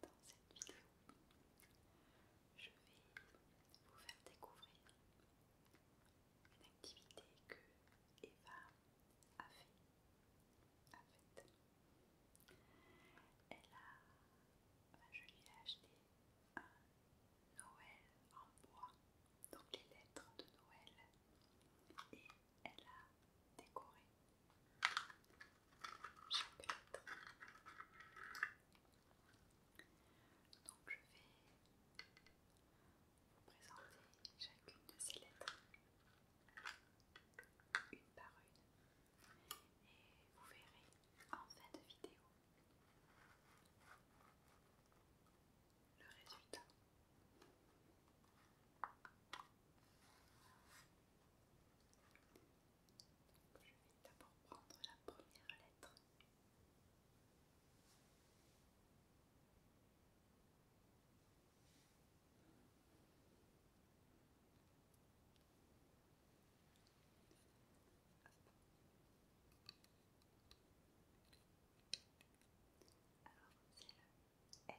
dans cette vidéo, je vais vous faire découvrir une activité que Eva a fait. Elle a, je lui ai acheté un Noël en bois, donc les lettres de Noël, et elle a décoré je vais vous présenter chacune de ces lettres une par une et vous verrez en fin de vidéo le résultat je vais d'abord prendre la première lettre. Alors c'est le N.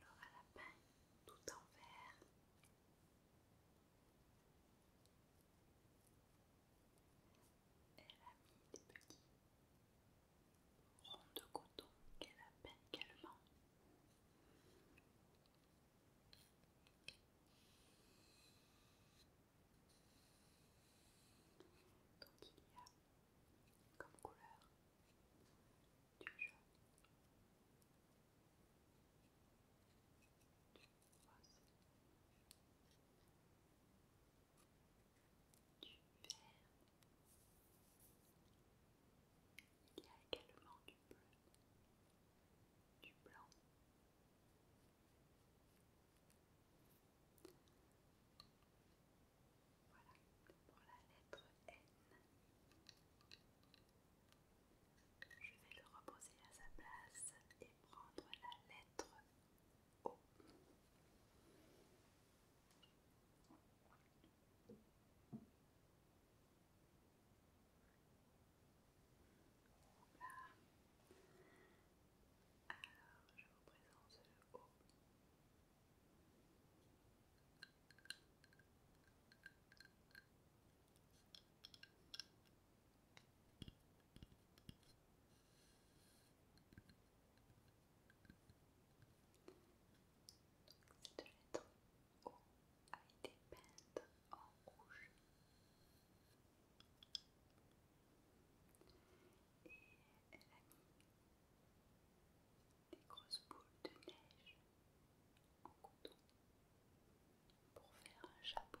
Alors à la peine, tout en vert. Elle a mis des petits ronds de coton qu'elle a peint également comme couleur du jaune, du rose, du vert. Il y a également du bleu, du blanc. Voilà, pour la lettre N. Je vais le reposer à sa place et prendre la lettre O. Voilà. Alors, je vous présente le O. Cette lettre O a été peinte en rouge. Et elle a mis des grosses boules de neige en coton pour faire un chapeau.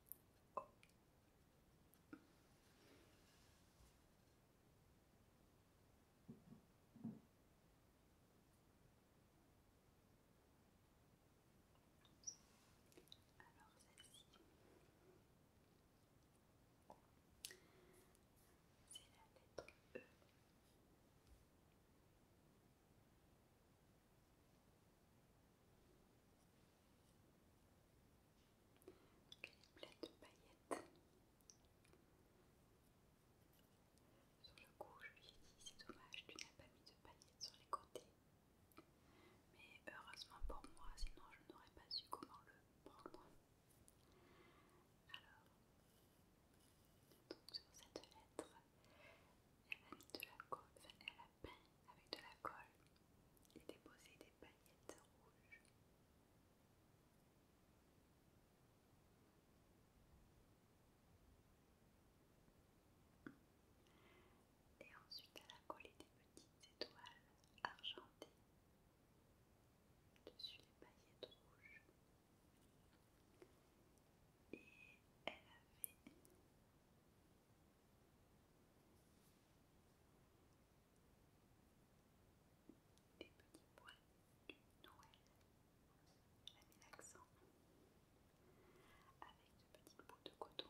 Alors c'est c'est la lettre e. Donc, elle est pleine de paillettes. Sur le coup, je lui ai dit c'est dommage, tu n'as pas mis de paillettes sur les côtés. Mais heureusement pour moi, sinon je n'aurais pas su comment le prendre. Alors, donc sur cette lettre, elle a mis de la, elle avec de la colle et déposer des paillettes rouges. Et ensuite à la coller des petites étoiles argentées dessus les paillettes rouges et elle avait des petits poils du Noël. Elle avait mis l'accent avec de petites bouts de coton.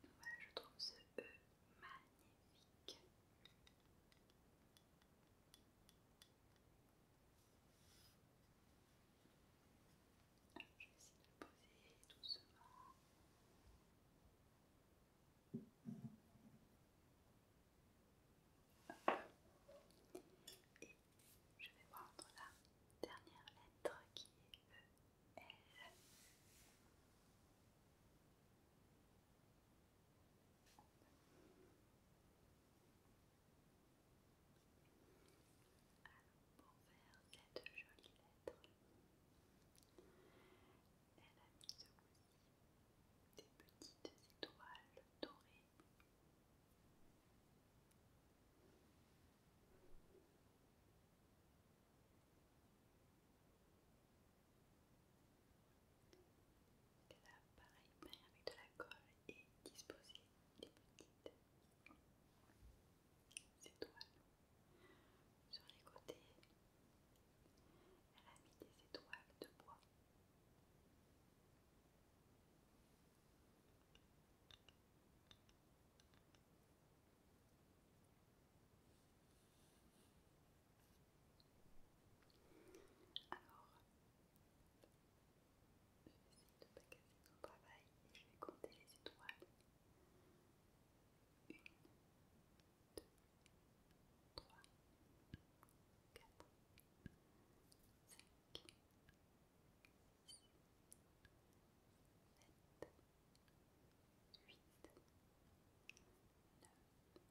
Voilà, je trouve ce E magnifique. je vais essayer de le poser doucement. Et je vais prendre la dernière lettre qui est E pour faire cette jolie lettre, elle a mis aussi des petites étoiles dorées. Que a, pareil, avec de la colle et disposé des petites étoiles sur les côtés. Elle a mis des étoiles de bois. Alors, je vais essayer de pas casser mon travail et je vais compter les étoiles. Une, deux, trois, quatre, cinq, sept, huit, neuf, dix, onze, douze, treize, quatorze, quinze, seize,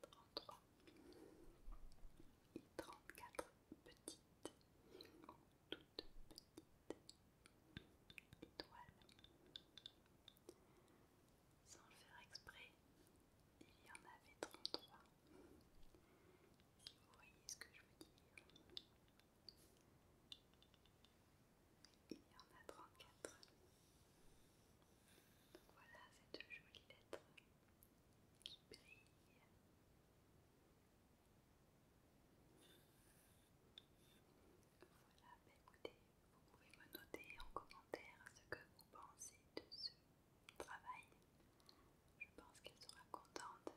33 et 34 petites, toutes petites étoiles. Sans le faire exprès, il y en avait 33. Si vous voyez ce que je veux dire. Il y en a 34. Donc voilà cette jolie lettre qui brille. Voilà, bah écoutez, vous pouvez me noter en commentaire ce que vous pensez de ce travail. Je pense qu'elle sera contente de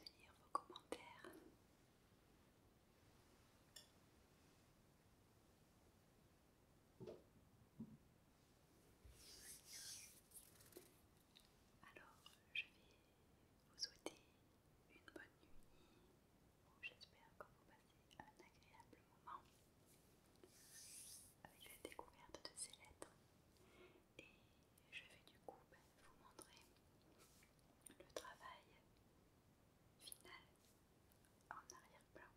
lire vos commentaires. Alors, je vais vous souhaiter une bonne nuit. J'espère que vous passez un agréable moment avec la découverte de ces lettres. Et je vais du coup ben, vous montrer le travail final en arrière-plan.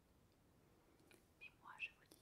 Mais moi, je vous dis